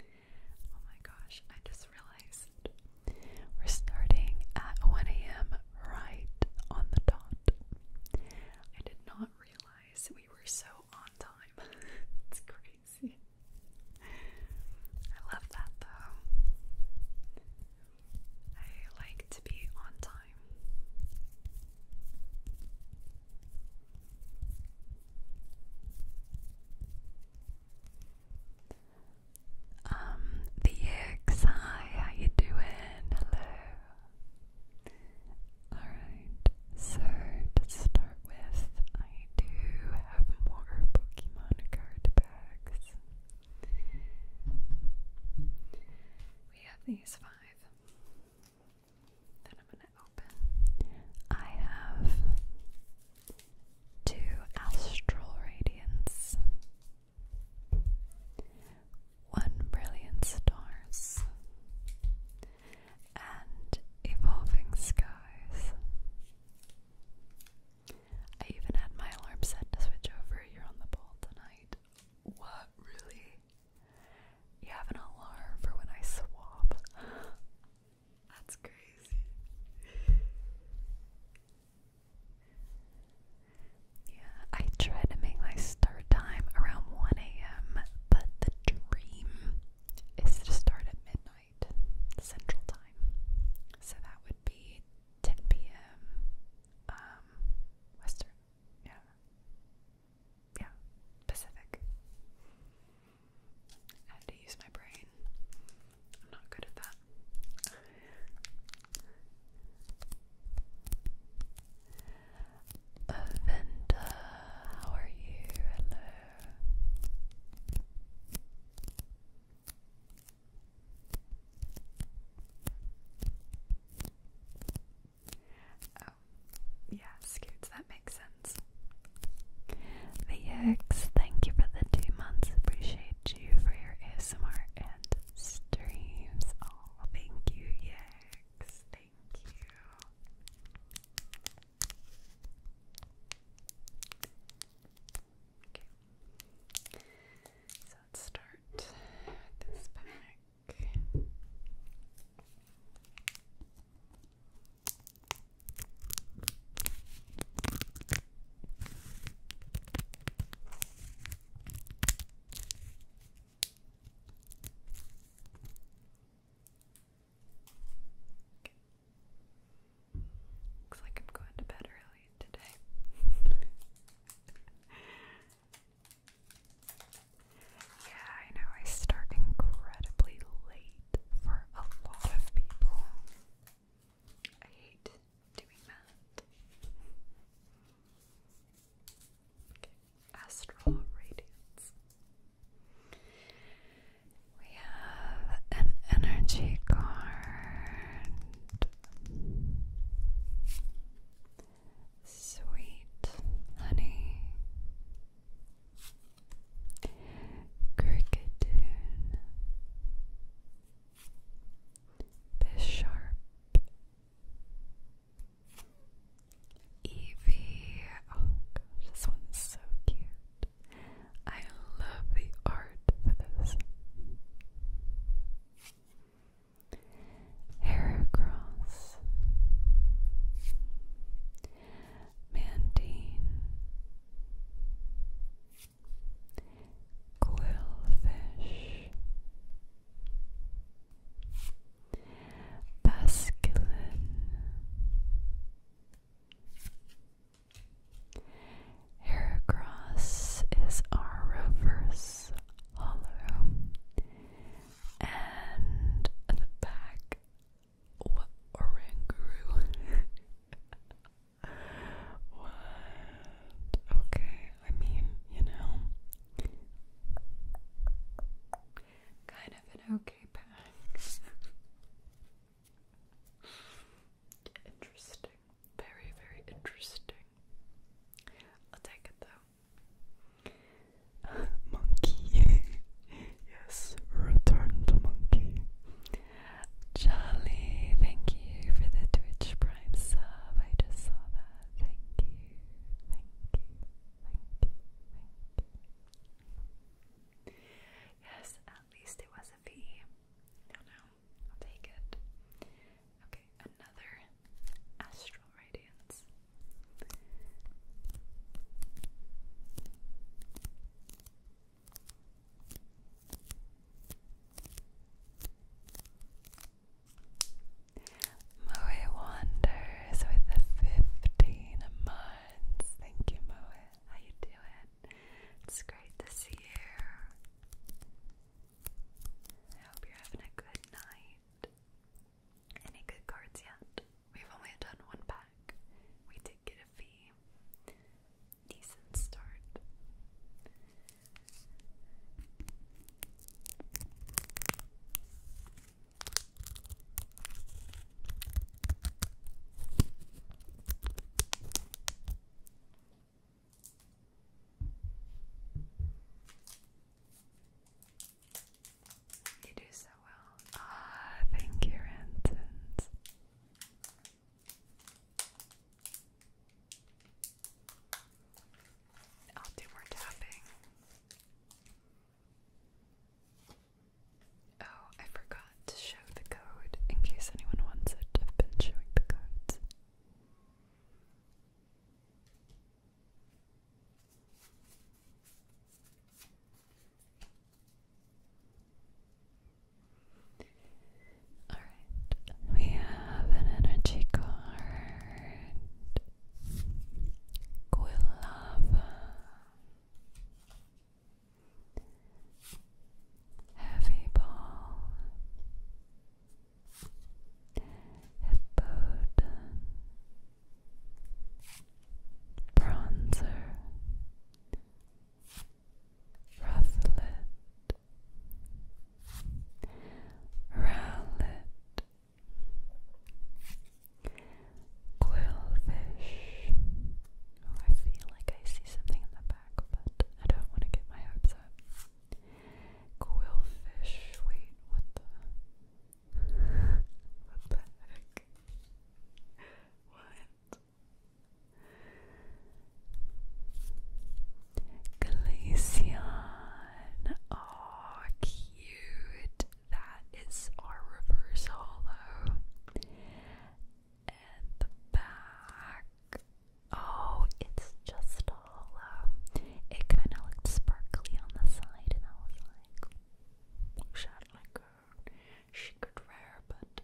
Oh my gosh, I just realized we're starting at 1 a.m. right on the dot. I did not realize we were so on time. it's crazy. I love that though. I like to be on time. Um, the X, hi, how you doing? Hello. Alright, so to start with, I do have more Pokemon card bags. We have these five that I'm going to open. I have two astral radiance, one brilliant stars, and evolving skies. I even had my alarm set to switch over. You're on the ball tonight. What, really? You have an alarm for when I swap? That's crazy. Yeah, I try to make my start time around 1 a.m., but the dream is to start at midnight Central Time. So that would be 10 p.m. Um, Western. Yeah. Yeah. Pacific. had to use my brain. I'm not good at that. Avenda, how are you? Hello. Oh, yeah, Scoots, that makes sense. The thank you for the two months. Appreciate you for your ASMR and streams. Oh, thank you, Yerks. Thank you. Okay let's start this pack. Looks like I'm going to bed early today. Yeah, I know I start incredibly late for a lot of people. I hate doing that. Okay. Astral radiance. We have an energy card. Sweet honey, cricket tune, Bisharp, Evie. Oh this one's so cute. I love the art for this. Heracross, Mantine, Quillfish, Basculin, Heracross is our reverse hollow. And the back, what oranguru? what? Okay, I mean, you know, kind of an okay pack. Interesting. Very, very interesting. I'll take it though. monkey. yes, return monkey. Charlie, thank you for the Twitch Prime sub. I just saw that. Thank you. Thank you. Thank you. Thank you. Yes, at least it was a V. No, no, I'll take it. Okay another astral radiance. Moe wanders with the fifteen months. Thank you, Moe. How you doing? It's great to see you. I hope you're having a good night. Any good cards yet? We've only done one pack. We did get a fee. Decent start. You do so well. Ah, thank you, Ranton. I'll do more tapping. Oh, I forgot to show the code in case anyone wants it. I've been showing the codes. All right, we have an energy card, Quilava, Heavy Ball, a burden, bronzer, rufflet, rowlet, quillfish. Oh, I feel like I see something in the back, but I don't want to get my hopes up. Quillfish. Wait, what the? what the heck? What? Glaceon. Oh, cute. That is our reverse hollow. And the back. Oh, it's just it kind of looked sparkly on the side, and I was like, shot like her. She could rare, but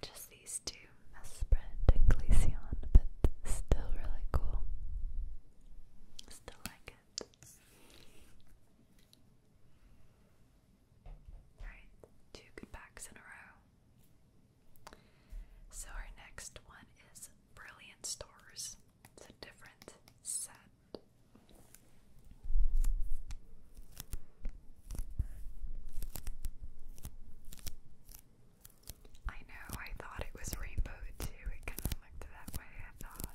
just these two, Mesprint and Glaceon, but still really cool. Still like it. Alright, two good packs in a row. So, our next one is Brilliant Stores. It's a different set. I know, I thought it was rainbow too. It kind of looked that way, I thought.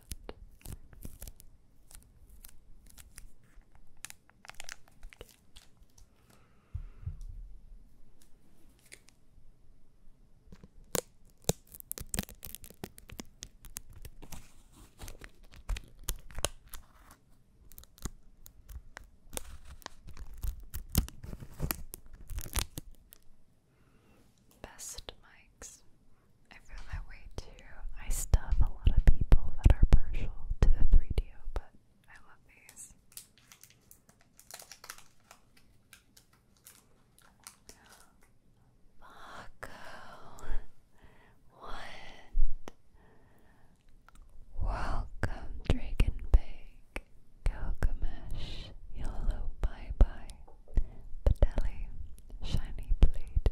Best mics. I feel that way too. I stuff a lot of people that are partial to the 3DO, but I love these. Marco, what? Welcome, Dragonbake, Gilgamesh, Yolo Bye Bye, Bedelli, Shiny Blade,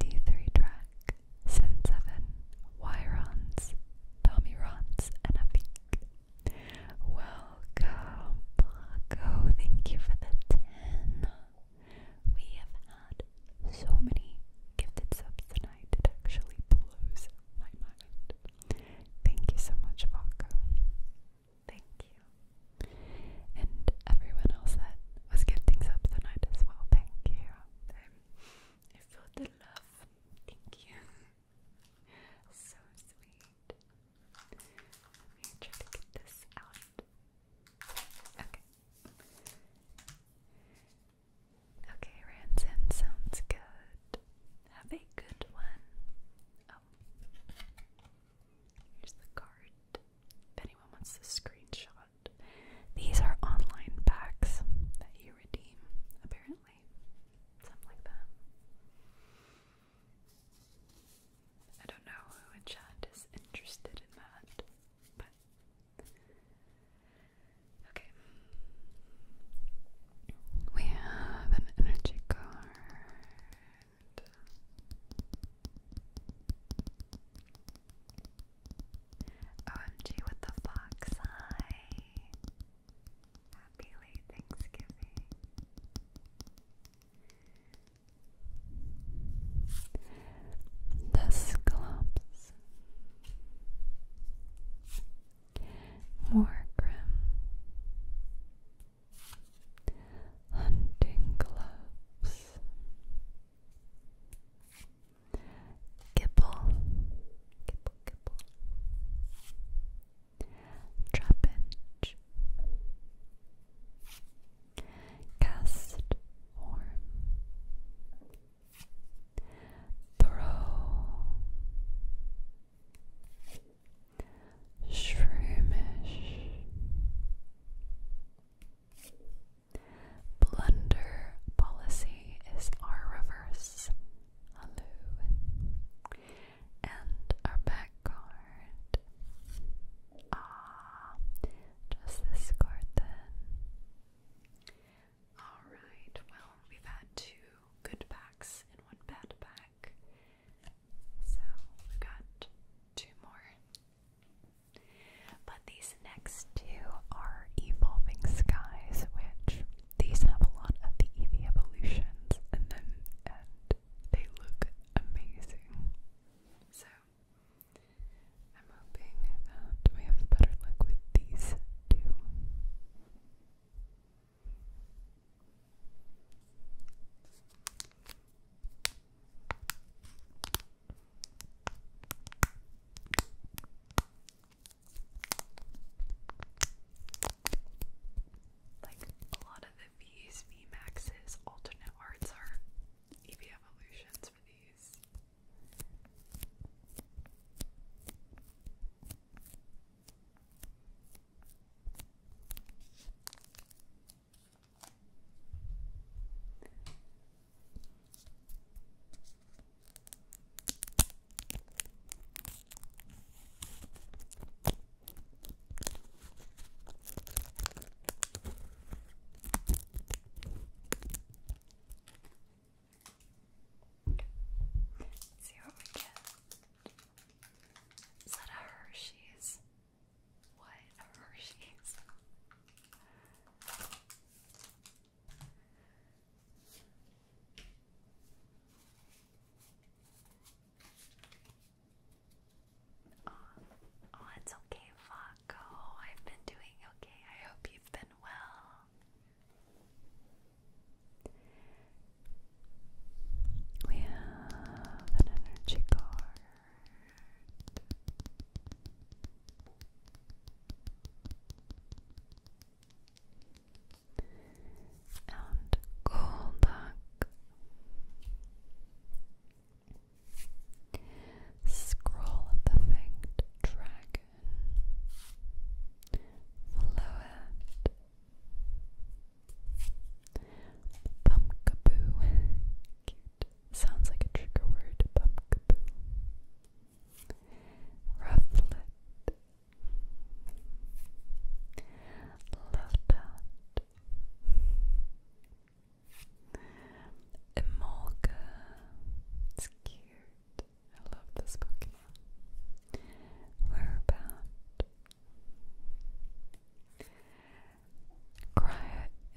D3 Track, Sin 7, Wyrons, Tommy Rons, and Afik. Welcome, Paco. Thank you for the 10. We have had so many gifted subs tonight, it actually blows my mind. Thank you so much, Paco. Thank you. And everyone else that was gifting subs tonight as well. Thank you. I feel the love. Thank you so sweet. Let me try to get this out. Okay. Okay, Ransom sounds good. Have a good one. Oh. Here's the card. If anyone wants the screenshot, these are online packs that you redeem, apparently. Something like that. I don't know who in is interested in that, but okay. We have an energy card. OMG with the fox eye. Happy late Thanksgiving. The Sclops. More Hunting gloves. Gibble. Gibble, gibble trapinch, cast form, throw, shroomish, blunder policy is our reverse. Hello and our back card. Ah, just card then. Alright, well, we've had two good packs and one bad pack. So we've got two more. But these next two are Evolving Skies, which these have a lot of the Eevee evolutions in them they look amazing. So I'm hoping that we have better luck with these two. Like a lot of the V's, V Max's, alternate arts are EV evolutions for these. Let's see what we get. Is that a Hershey's? What Hershey's? Oh, oh, it's okay, Fako. I've been doing okay. I hope you've been well. We have an energy card and Golduck. Scroll of the Fanged Dragon. Float. Pumpkaboo. Cute. Sounds like a trigger word. Pumpkaboo. Rufflet. Love that. Emolga. It's cute. I love this Pokemon. Whereabout? Cryo.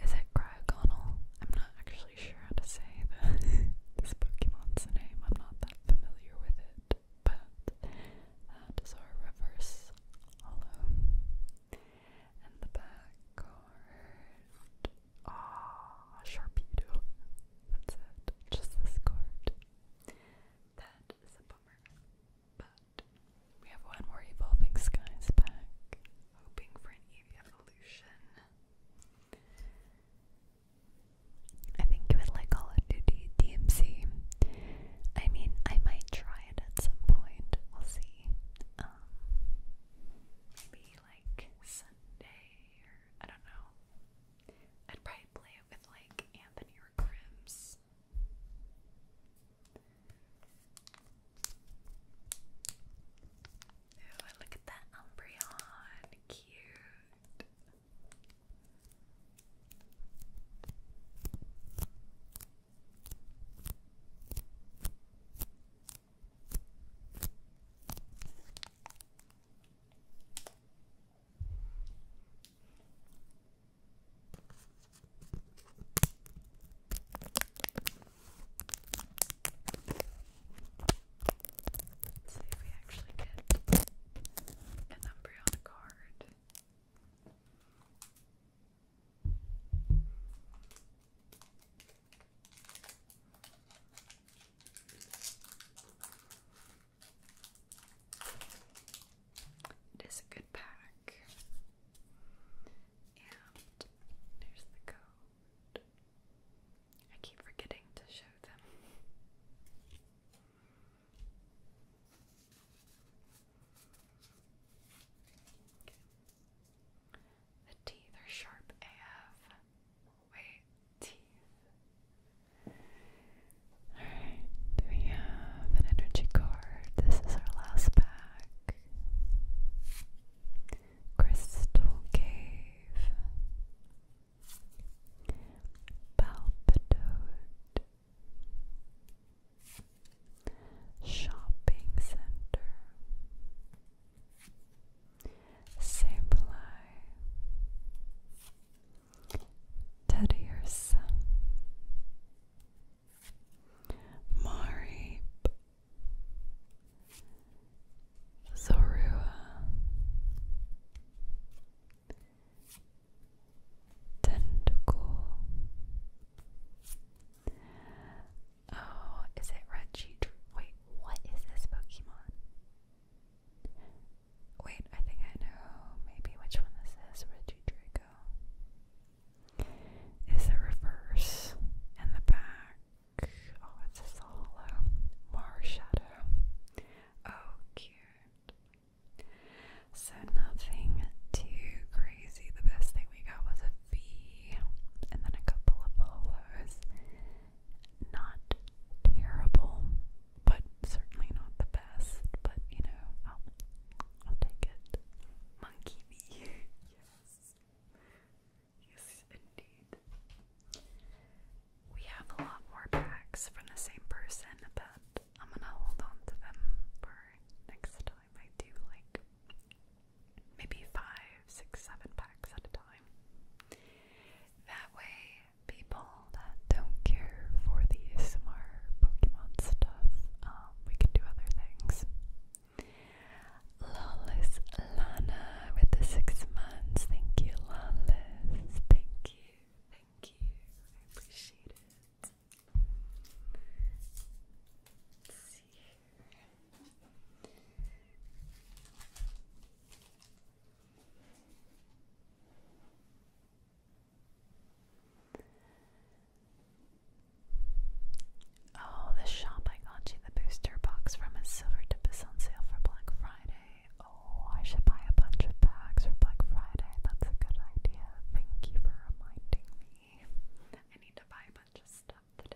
Is it Cryogonal? I'm not actually sure how to say this Pokemon's name. I'm not that familiar with it but that is our reverse hollow. And the back card. Ah, oh, Sharpedo. That's it. Just this card. That is a bummer. But we have one more Evolving Skies pack. Hoping for an Eevee evolution. I think you would like Call of Duty DMC. I mean, I might try it at some point. We'll see. Um, maybe like Sunday or I don't know. I'd probably play it with like Anthony or Grims. Oh, look at that Umbreon. Cute. Let's see if we actually get an Umbreon card. It is a good pack. And there's the code. I keep forgetting to show them. The teeth are sharp AF. Wait, teeth. Alright, we have an energy card. This is our last pack. Crystal Cave. Palpitoad. Shopping Center Sableye Teddy Urson Zorua Tentacle. Oh, is it Red Wait, what is this Pokemon? Wait, I think I know maybe which one this Reggie Draco is the reverse and the back. Oh, it's a hollow. Mar Oh, cute. So nothing too crazy. The best thing we got was a V and then a couple of hollows. Not terrible, but certainly not the best. But you know, I'll, I'll take it. Monkey V. yes. Yes, indeed. We have a lot more packs from the same person, but I'm gonna hold on to them for next time. I do like maybe five, six, seven packs at a time. That way, people that don't care for the ASMR Pokemon stuff, um, we can do other things. Lawless Lana with the six months. Thank you, Lawless. Thank you, thank you. I appreciate it. Oh, the shop I got you the booster box from a silver tip is on sale for Black Friday. Oh, I should buy a bunch of bags for Black Friday. That's a good idea. Thank you for reminding me. I need to buy a bunch of stuff today.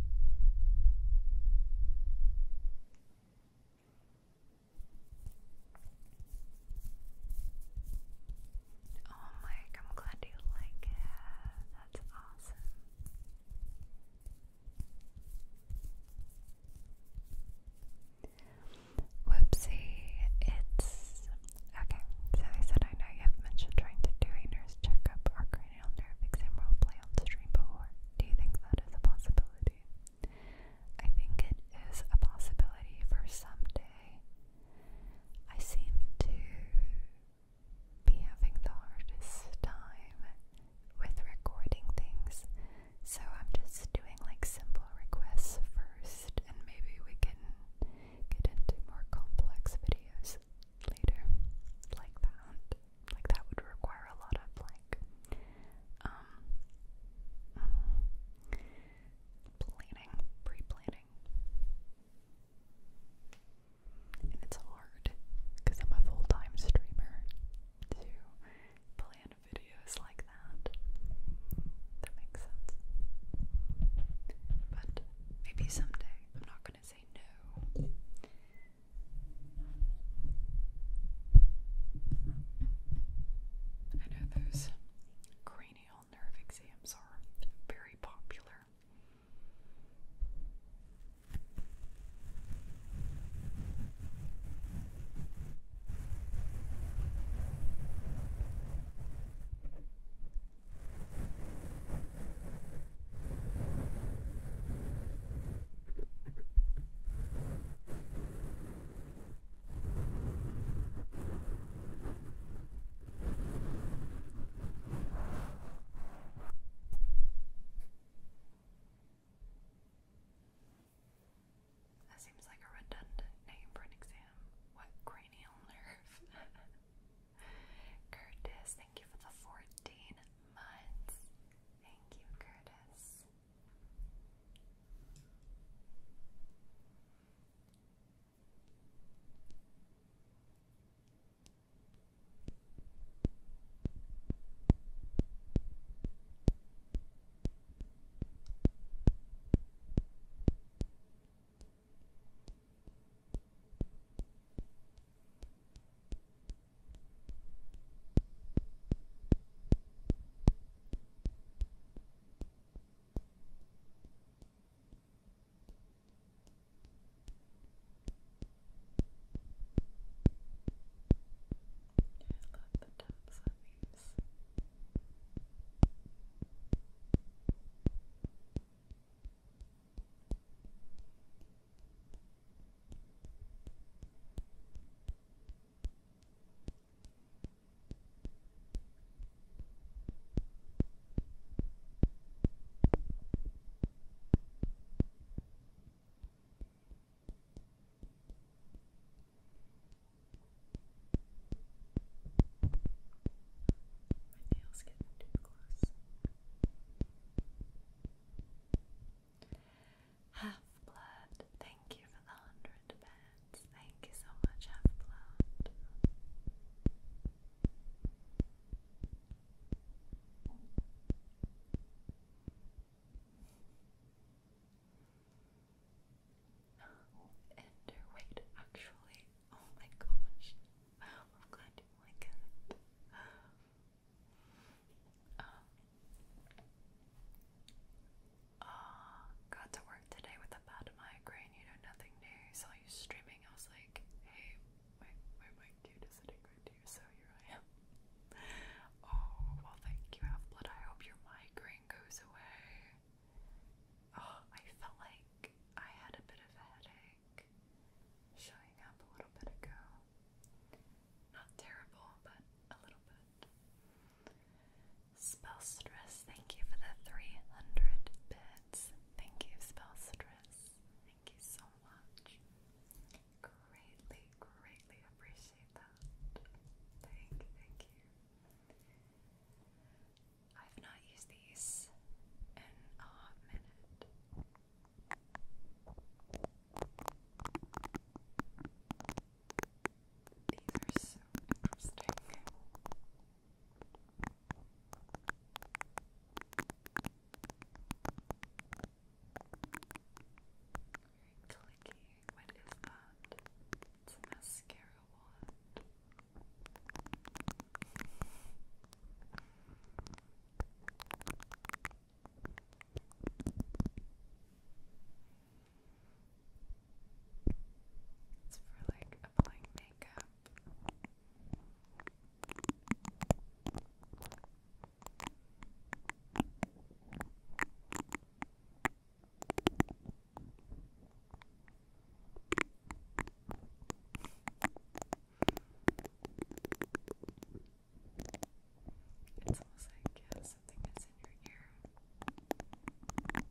Oh, Mike, I'm glad you like it. That's awesome. Whoopsie, it's okay. So I said I know you have mentioned trying to do a nurse checkup or cranial nerve exam role play on stream before. Do you think that is a possibility? I think it is a possibility for someday. I seem to be having the hardest time with recording things, so I'm just doing like simple requests first, and maybe we can get into more complex videos later, like that. Like that would require a lot of um, planning, pre-planning. And it's hard because I'm a full-time streamer to plan videos like that. That makes sense. But maybe someday I'm not gonna say no. I know those cranial nerve exams are very popular. That seems like a redundant name for an exam. What cranial nerve? Curtis, thank you for the 14 months. Thank you, Curtis love the tops of these. These are my nails getting too close. Half Blood, thank you for the hundred beds. Thank you so much, Half Blood. And actually. Oh my gosh. I'm glad you like it. Um, got to work today with a bad migraine, you know, nothing new. Saw you streaming, I was like, hey, my, my mic is sitting right to so here I am. oh, well, thank you, Half-Blood. I hope your migraine goes away. Oh, I felt like I had a bit of a headache showing up a little bit ago. Not terrible, but a little bit. Spell Stress, thank you for the 300 bits. Thank you, Spell Stress. Thank you so much. Greatly, greatly appreciate that. Thank thank you. I've not used these in a minute are so interesting. Very clicky. What is that? It's a mascara wand. It's for like applying makeup. It's almost like yeah, something is in your ear. It's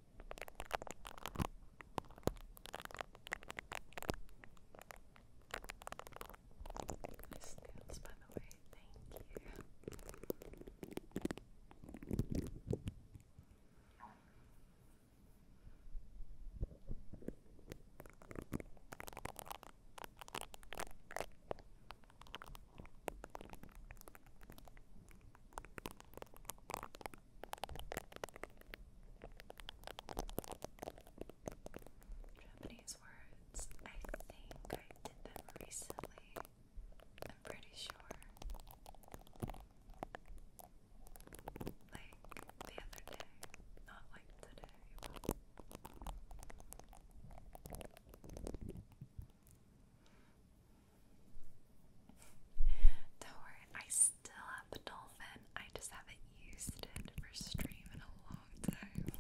Nice nails, by the way. Thank you. Japanese words. I think I did them recently. I'm pretty sure. Like the other day. Not like today, don't worry, I still have the I just haven't used it for streaming a long time.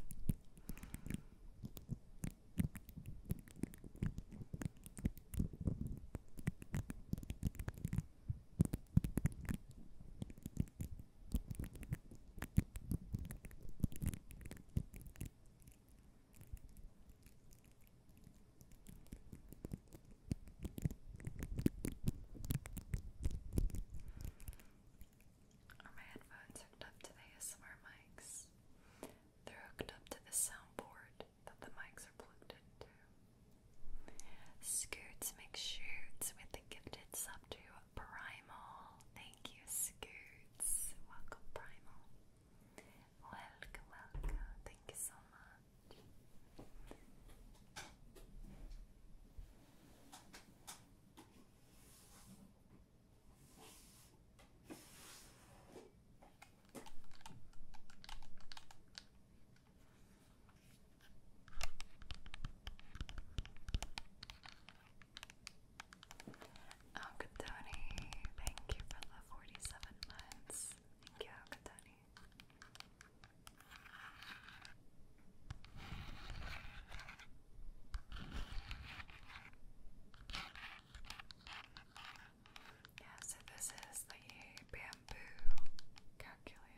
Are my headphones hooked up to the ASMR mics? They're hooked up to the soundboard that the mics are plugged into. Scoots make shoots with the gifted sub to Primal. Thank you, Scoots. Welcome, Primal. Welcome, welcome. Thank you so much. Alcatoni, oh, thank you for the 47 months. Thank you, Alcatoni. Yeah, so this is the bamboo calculator.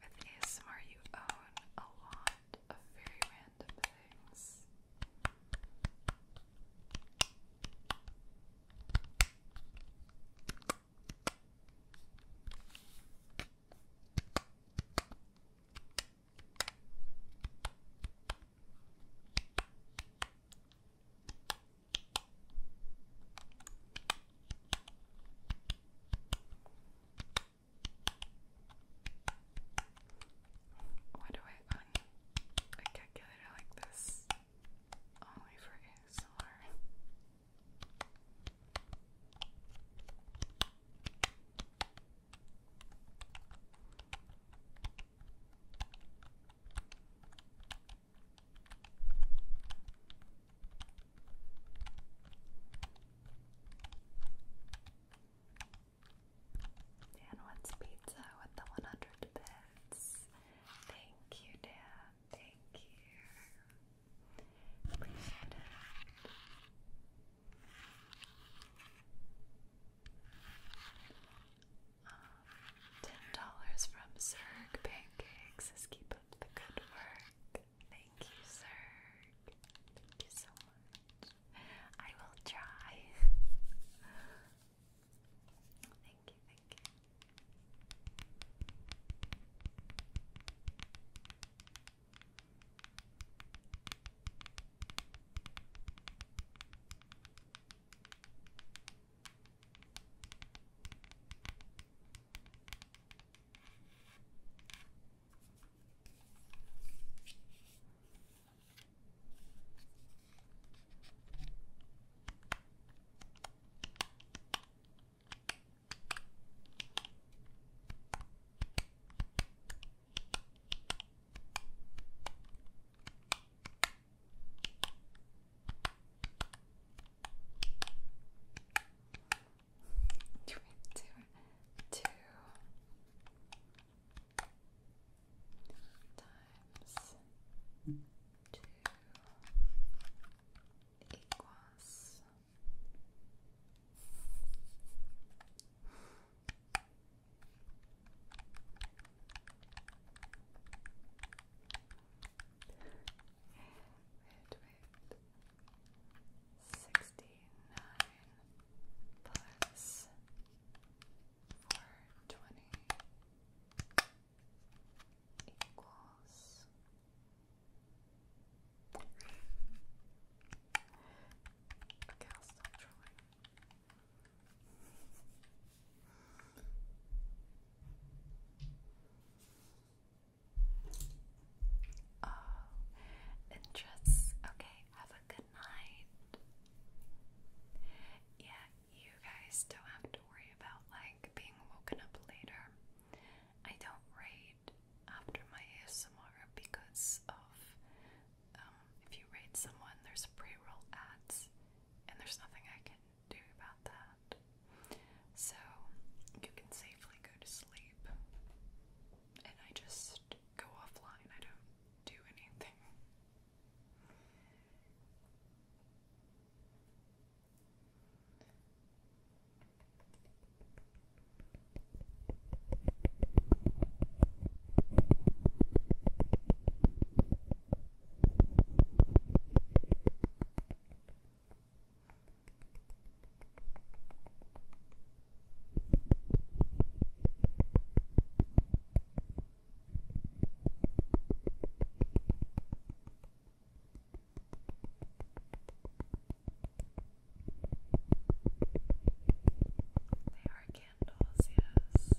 With ASMR, you own a lot of very random things. Why do I un calculator like this? Only for ASMR. Dan wants pizza with the 100 bits. Thank you, Dan. Thank you. Appreciate it. Um, $10 from Zerg Pancakes says keep up the good work. Thank Thank you, sir. Thank you so much. I will try. thank you, Two, two, two, times two equals Wait, wait sixty-nine plus four twenty equals Okay, I'll stop Oh, interests. Okay, have a good yeah, you guys don't have to worry about like being woken up later. I don't rate after my ASMR because of um, if you raid someone, there's pre-roll ads, and there's nothing I can do about that. So you can safely go to sleep, and I just go offline. I don't do anything. They are candles, yes. They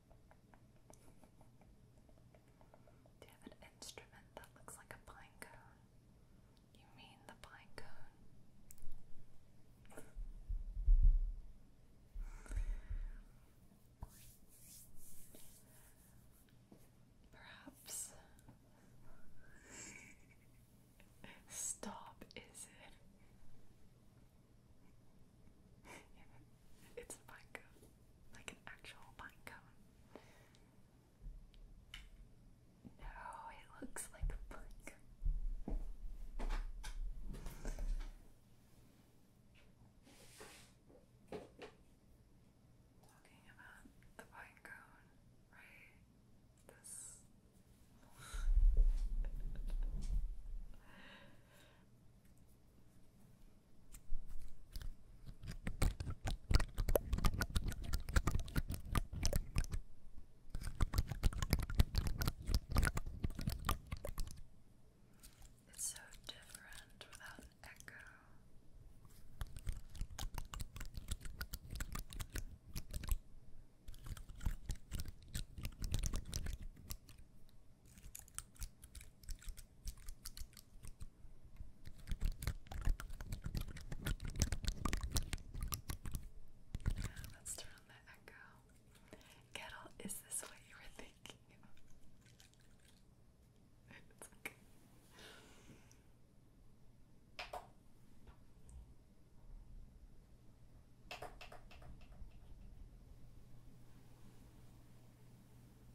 Do you have an instrument that looks like a pine cone? You mean the pine cone? Perhaps. Stop, is it? it's a pine cone, like an actual pine cone. No, it looks like a pine cone. Talking about the pine cone, right? This. It's so different without echo. Let's turn on the echo. Kettle, is this what you were thinking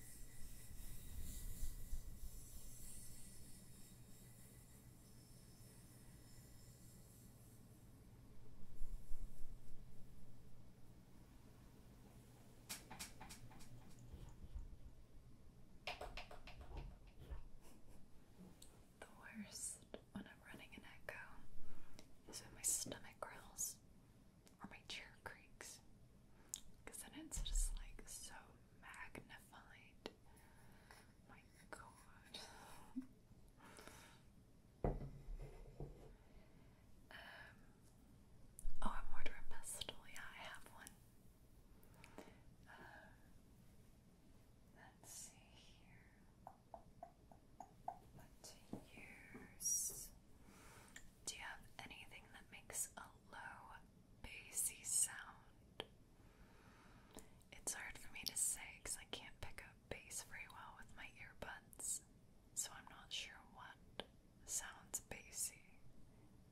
The worst when I'm running an echo is when my stomach growls or my chair creaks because then it's just like so magnified. My um, oh, I'm ordering pestle. Yeah, I have one. Um, let's see here. What to use? Do you have anything that makes a low, bassy sound? It's hard for me to say because I can't pick up bass very well with my earbuds, so I'm not sure what sounds bassy.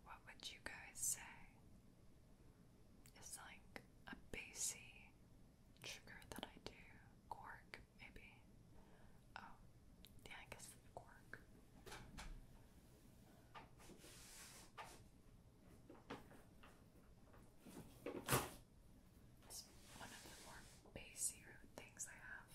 What would you guys say? It's like a bassy trigger that I do. Cork, maybe. Oh, yeah, I guess the it's one of the more bassy things I have.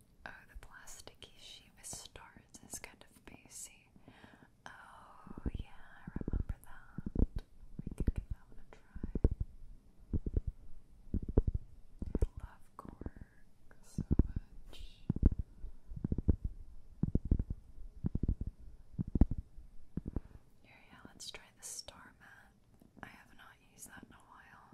Oh, the plasticky sheet with stars is kind of basic. Oh, yeah, I remember that. We could give try. I love cork so much. yeah, let's try the star mat. I have not used that in a while.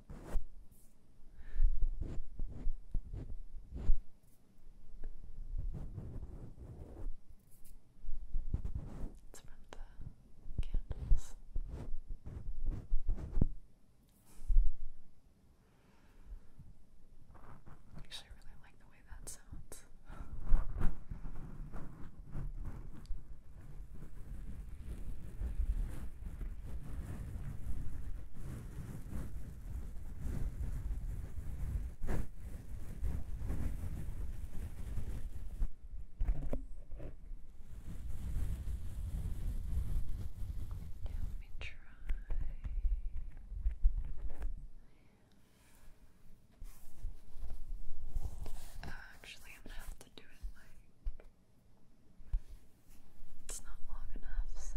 It's from the candles. Actually, I really like the way that sounds. Let me try. Uh, actually, I'm gonna have to do it like it's not long enough, so.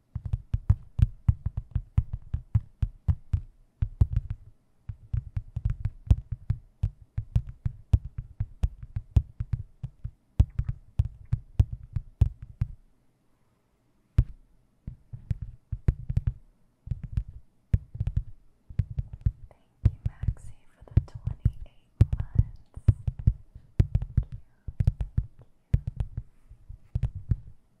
Thank you, Maxie, for the twenty eight months. Thank you. Thank you.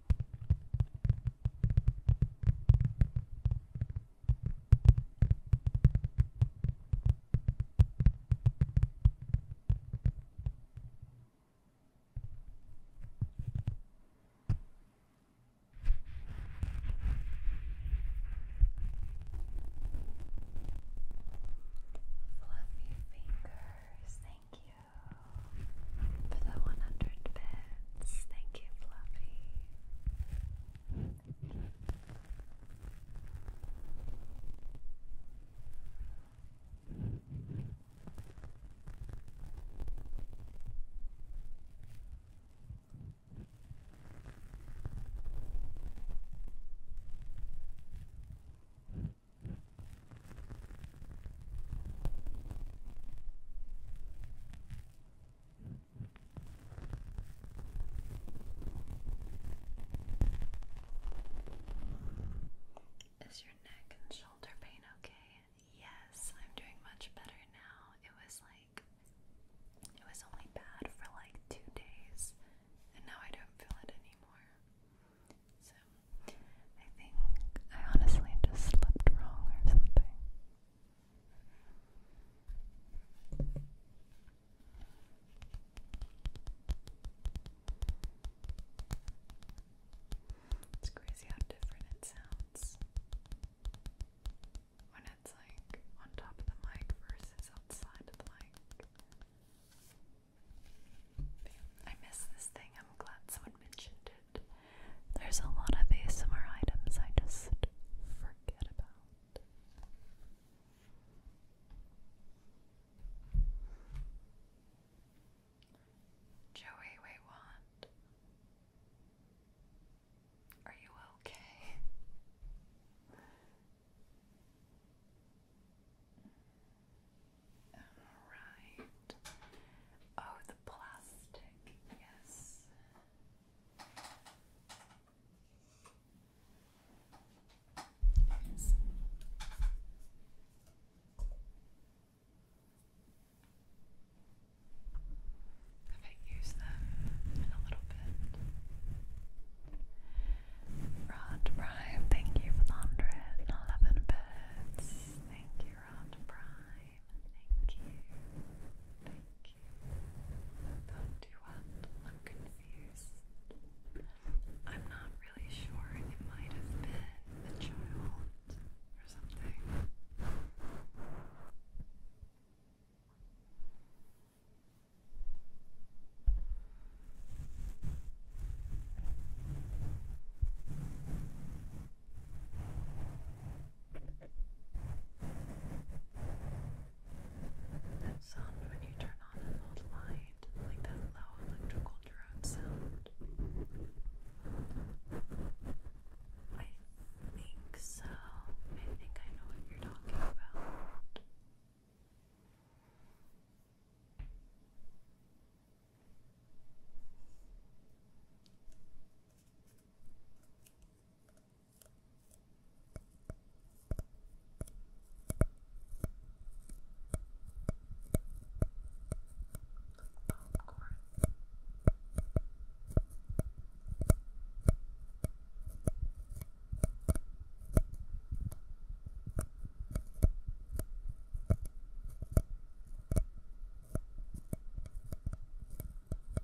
Fluffy fingers, thank you for the 100 bits. Thank you, Fluffy. Is your neck and shoulder pain okay? Yes, I'm doing much better now. It was like, it was only bad for like two days, and now I don't feel it anymore. So, I think I honestly just slept wrong or something. It's crazy how different it sounds when it's like on top of the mic versus outside of the mic. I miss this thing. I'm glad someone mentioned it. There's a lot of ASMR items I just forget about. Joey, wait, what? Are you okay? All right. Oh, the plastic yes. yes. I might use them a little bit. Rod Prime, thank you for the 111 bits. Thank you, Rod Prime. Thank you. Thank you. Don't do up. I'm confused. I'm not really sure. It might have been a child or something. Thank that sound when you turn on an old light, like that low electrical drone sound. I think so. I think I know what you're talking about. Popcorn.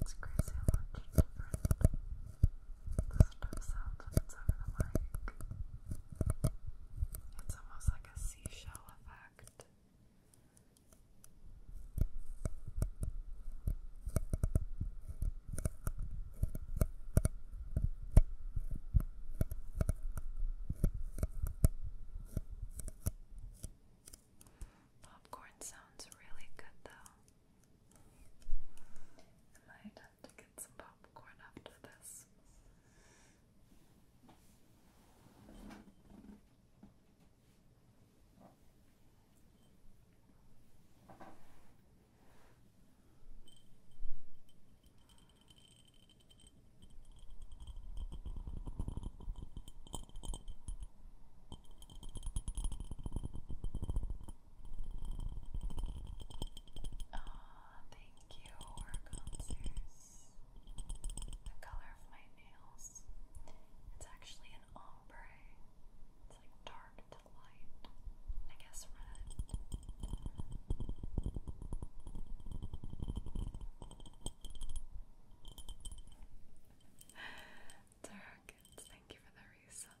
It's crazy how much different the stuff sounds when it's over the mic. It's almost like a seashell effect. Popcorn sounds really good though. I might to get some popcorn after this. Ah, thank you, Orconzers. The color of my nails. It's actually an off it's like dark to light. I guess red. Darkens, thank you for the reset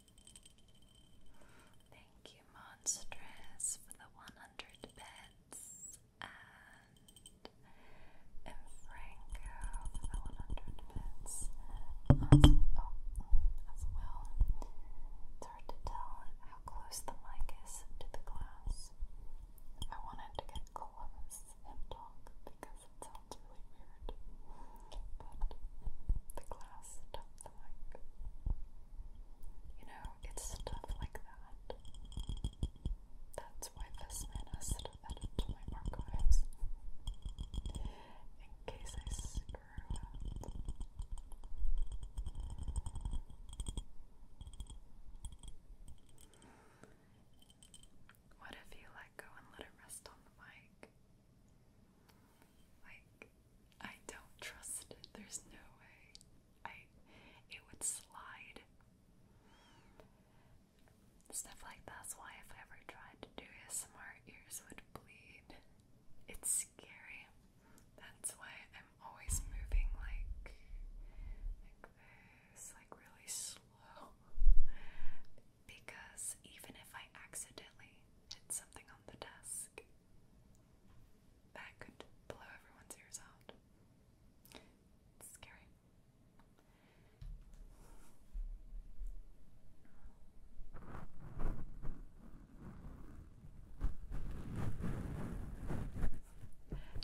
Thank you, Monstress, for the 100 bits. And Infranco for the 100 bits oh, as well. It's hard to tell how close the mic is to the glass. I wanted to get close and talk because it sounds really weird. But the glass the mic. You know, it's stuff like that. That's why this man has to edit my archives. In case I screw up. What if you let go and let it rest on the mic? Like, I don't trust There's no way. I it would slide. Stuff like that's why if I ever tried to do ASMR, ears would bleed. It's scary. That's why I'm always moving like like this, like really slow. Because even if I accidentally hit something the desk. That could blow everyone's ears out. scary.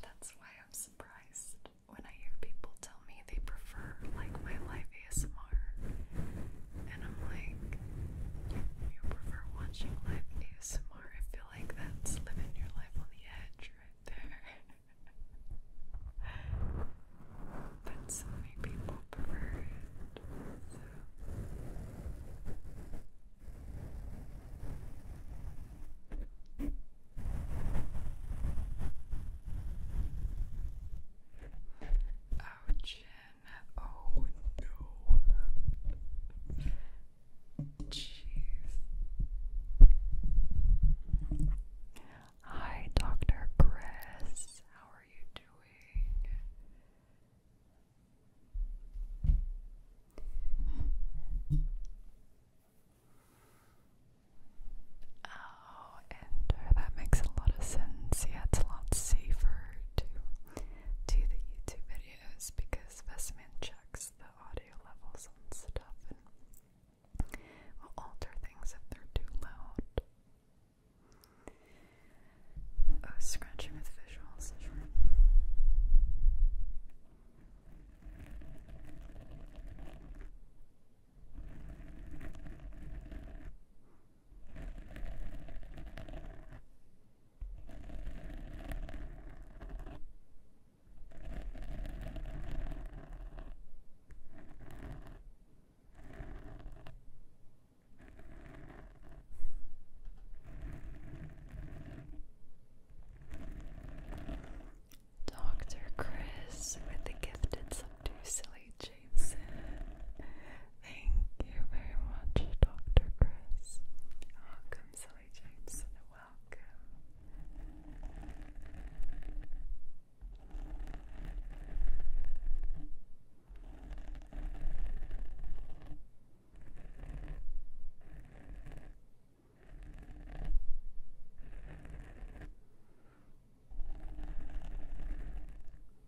That's why I'm surprised when I hear people tell me they prefer like my live ASMR and I'm like, you prefer watching live ASMR? I feel like that's living your life on the edge right there. but so many people prefer it. Ouch. Oh no. Jeez. Hi, Dr. Chris. How are you doing? Oh, and uh, that makes a lot of sense. Yeah, it's a lot safer to to the YouTube videos because specimen checks the audio levels and stuff and will alter things if they're too loud. Oh, scratching with visuals. Dr. Chris with the gifted subdued silly Jason. Thank you very much, Dr. Chris. Welcome, Silly Jameson. Welcome.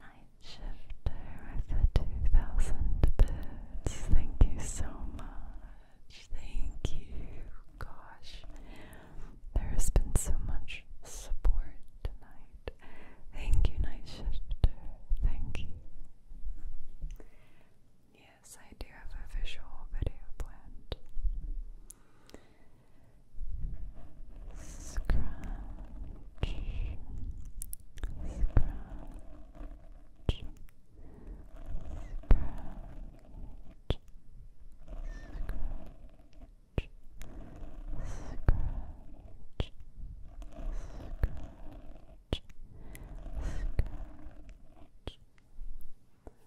Night with the 2000 bits. Thank you so much. Thank you. Gosh, there has been so much support tonight. Thank you, Night Thank you. Yeah, yes, I do have a visual video planned. Scratch, scratch, scratch, scratch. Scratch, scratch, scratch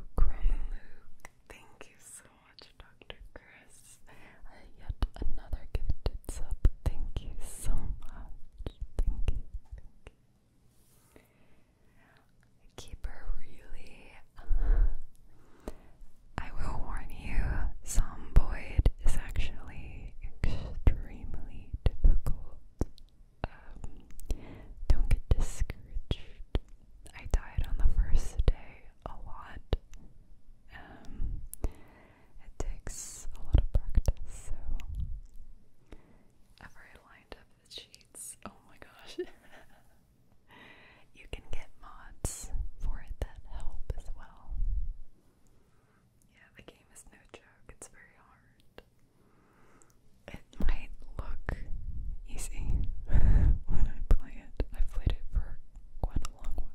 Chromaluke. Thank you so much, Dr. Chris. Uh, yet another gifted sub. Thank you so much. Thank you. Keeper, really. I will warn you, Zomboid is actually extremely difficult um, don't get discouraged. I died on the first day a lot. Um, it takes a lot of practice, so I've already the sheets. Oh my gosh. you can get mods for it that help as well. Yeah, the game is no joke, it's very hard. It might look easy when I play it. I've played it for quite a long while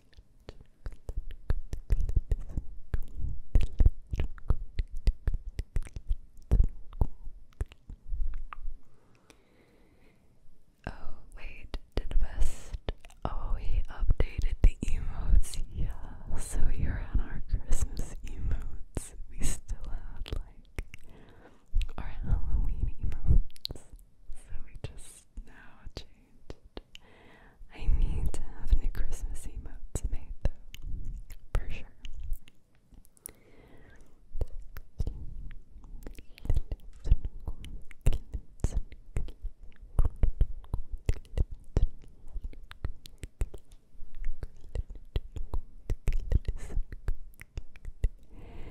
Oh, wait, did Vest already oh, updated the emotes? Yeah, so you're on our Christmas emotes. We still have like our Halloween emotes. So we just is now changed. I need to have new Christmas emotes made though, for sure.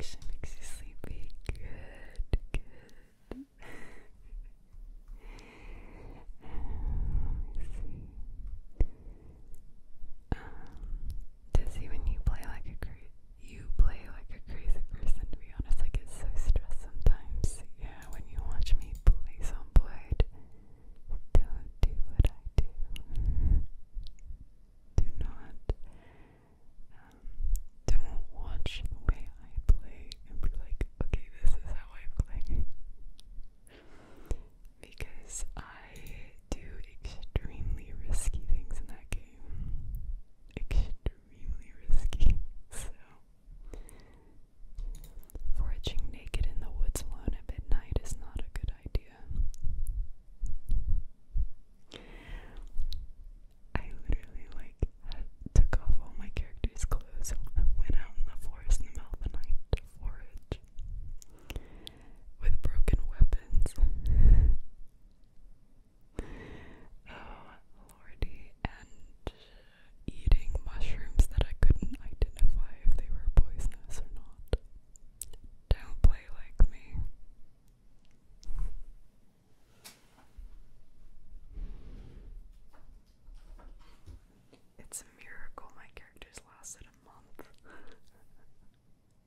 She makes you sleepy. Good, good. Um, dizzy you play like a cra you play like a crazy person. To be honest, I get so stressed sometimes. Yeah, when you watch me play soundboard, don't do what I do. do not. Um, don't watch the way I play and be like, okay, this is how I play because I do extremely risky things in that game. Extremely risky. So, foraging naked in the woods alone at midnight is not a good idea. I literally like took off all my characters' clothes, went out in the forest in the middle of the night to forage with broken weapons. oh, lordy, and eating mushrooms that I couldn't identify if they were poisonous or not. Don't play like me. It's a miracle my characters lasted a month.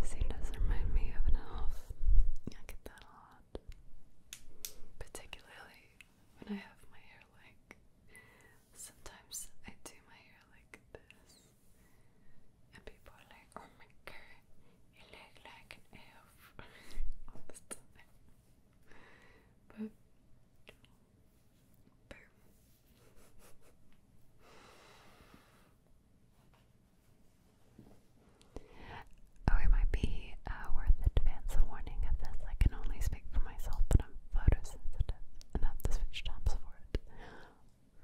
This scene does remind me of an elf. I get that a lot. Particularly when I have my hair like sometimes I do my hair like this. And people like, oh my god, you look like an elf all But Oh, it might be uh, worth advance a warning of this. I can only speak for myself, but I'm photosensitive enough to switch tabs for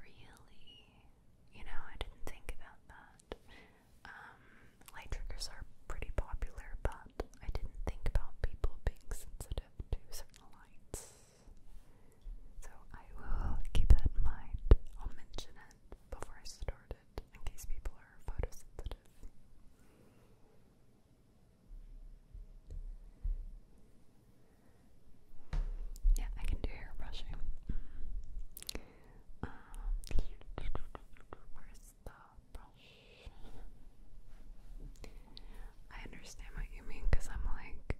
Really? You know, I didn't think about that. Um, light triggers are pretty popular, but I didn't think about people being sensitive to certain lights. So I will keep that in mind. I'll mention it before I start in case people are photosensitive. Yeah, I can do hair brushing. Mm-hmm. Um, where's the brush? I understand what you mean because I'm like,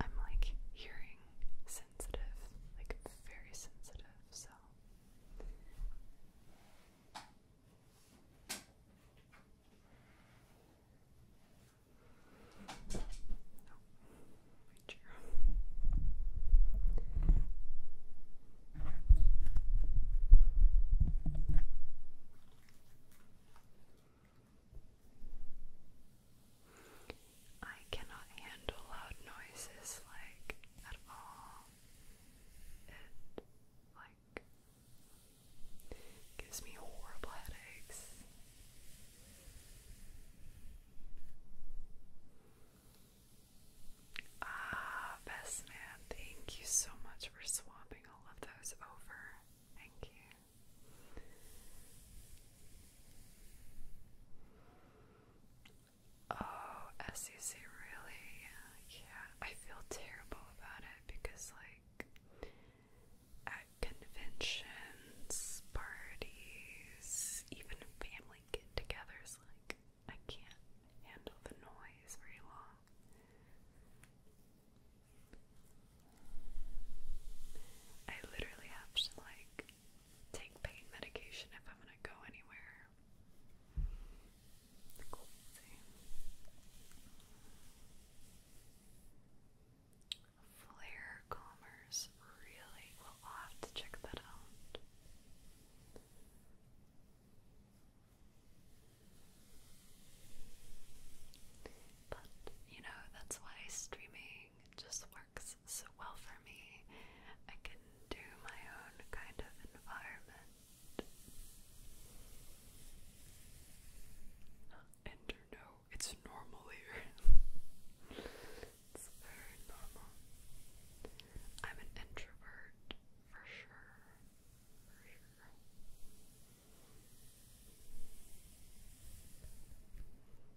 I'm like hearing sensitive, like very sensitive, so I cannot handle loud noises like at all. It like gives me horrible headaches. Ah, best thank you so much for swapping all of those over. Thank you. Oh, SEC really? Yeah, I feel terrible about it because, like, at conventions, parties, even family get togethers, like, I can't handle the noise very long. I literally have to, like, take pain medication if I'm gonna go anywhere. Flare Commerce, really? will have to check that out. But, you know, that's why streaming just works so well for me. I can do my own kind of environment. Enter, no, it's normal here. it's very normal. I'm an introvert for sure. For sure.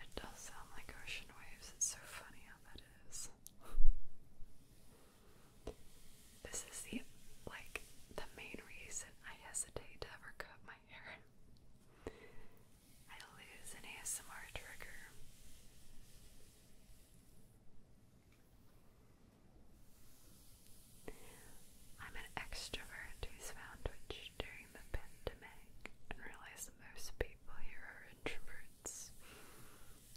It does sound like ocean waves. It's so funny how that is. This is the like the main reason I hesitate to ever cut my hair. I lose an ASMR trigger. I'm an extrovert who's found what during the pandemic and realized that most people here are introverts.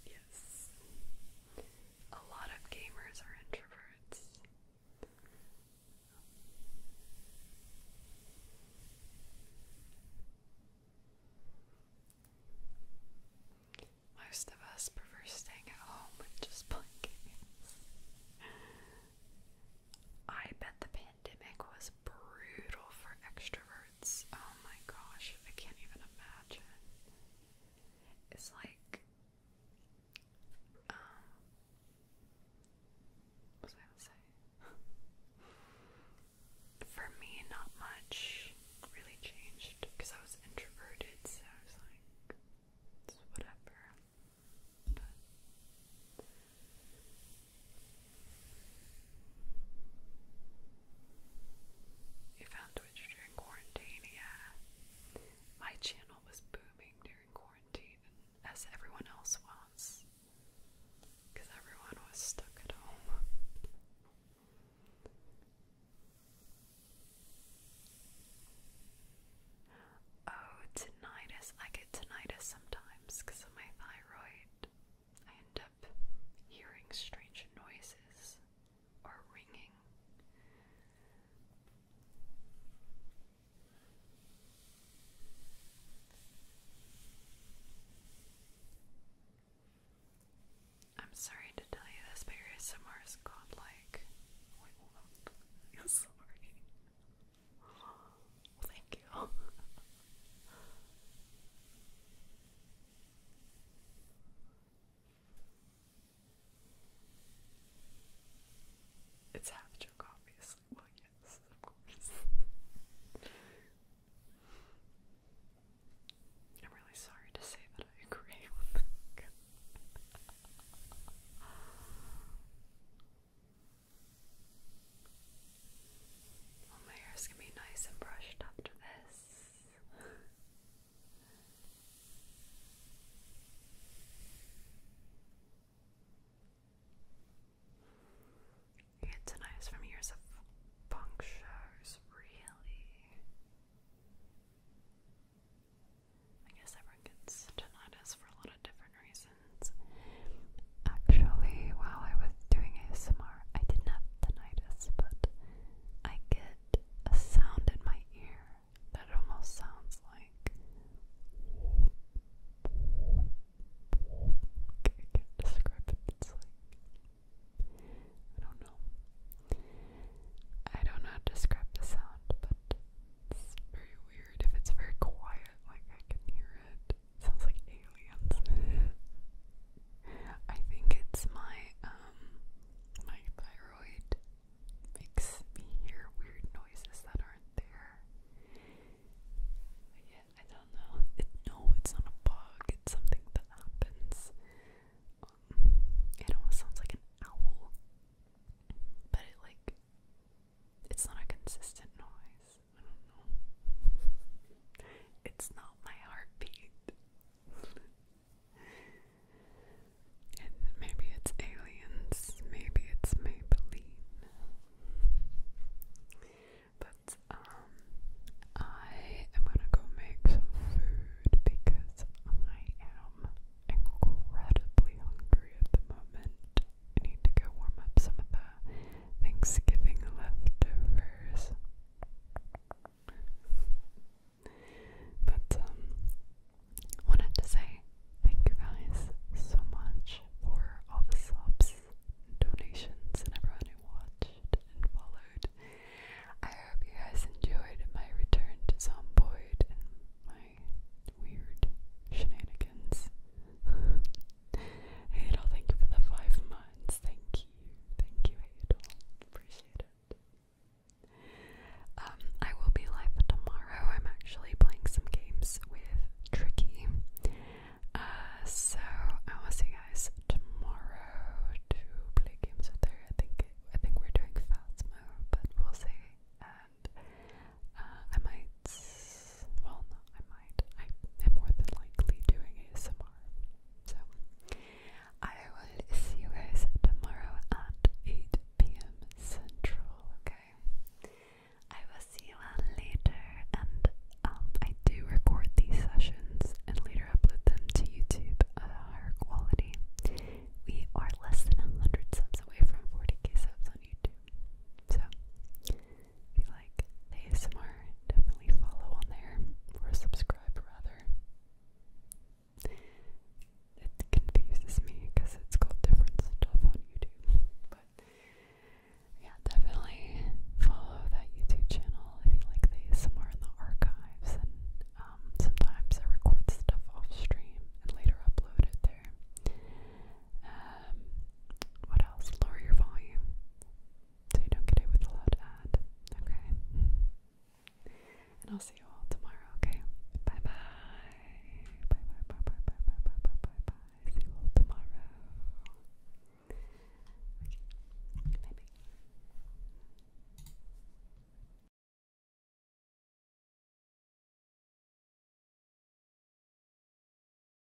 Yes. A lot of gamers are introverts. Most of us prefer staying at home and just playing games. I bet the pandemic was brutal for extroverts. Oh my gosh, I can't even imagine. It's like, um, what was I gonna say? for me, not much really changed because I was introverted, so I was like, it's whatever. But you found Twitch during quarantine, My channel was booming during quarantine, as everyone else was, because everyone was stuck at home. Oh, tinnitus. I get tinnitus sometimes because of my thyroid, I end up hearing strange noises or ringing. I'm sorry to tell you this, but your ASMR godlike. Wait, Thank you. It's half a joke, obviously. Well, yes, of course. I'm really sorry to say that I agree with well, oh, my hair's gonna be nice and brushed after this. It's nice from years of punk really. I guess everyone gets tinnitus for a lot of different reasons. Actually, while I was doing ASMR, I didn't have tinnitus, but I get a sound in my ear that almost sounds like. can't describe it. It's like. I don't know. I don't know how to describe the sound, but it's very weird. If it's very quiet, like I can hear it. Sounds like aliens. I think it's my um my thyroid makes me hear weird noises that aren't there. yeah, I don't know. no, it's not a bug. It's something that happens. Um, it almost sounds like an owl, but it like it's not a consistent noise. I don't know. It's not my heartbeat. and maybe it's aliens, maybe it's Maybelline. But um I am gonna go make some food because I am incredibly hungry at the moment need to go warm up some of the Thanksgiving leftovers. But um, wanted to say thank you guys so much for all the subs donations and everyone who watched and followed. I hope you guys enjoyed my return to Zomboid and my weird shenanigans. Adol, thank you for the five months. Thank you. Thank you, Adol. Appreciate it. Um, I will be live tomorrow. I'm actually playing some games with Tricky. Uh, so I will see guys tomorrow to play games with her. I think I think we're doing Phasmo, but we'll see. And uh, I might well, no, I might. I am more than likely doing ASMR. So, I will see you guys tomorrow at 8 p.m. Central, okay? I will see you later, and um, I do record these sessions and later upload them to YouTube at a higher quality. We are less than 100 subs away from 40k subs on YouTube. So, if you like ASMR, definitely follow on there or subscribe rather. It confuses me because it's called different stuff on YouTube. But yeah, definitely follow that YouTube channel if you like ASMR in the archives. And um, sometimes I record stuff off stream and later upload it there. Um, what else? Lower your volume so you don't get it with a loud ad. Okay? And I'll see you all tomorrow, okay? Bye bye. Bye bye bye bye bye bye bye bye bye See you all tomorrow. Okay. Bye bye.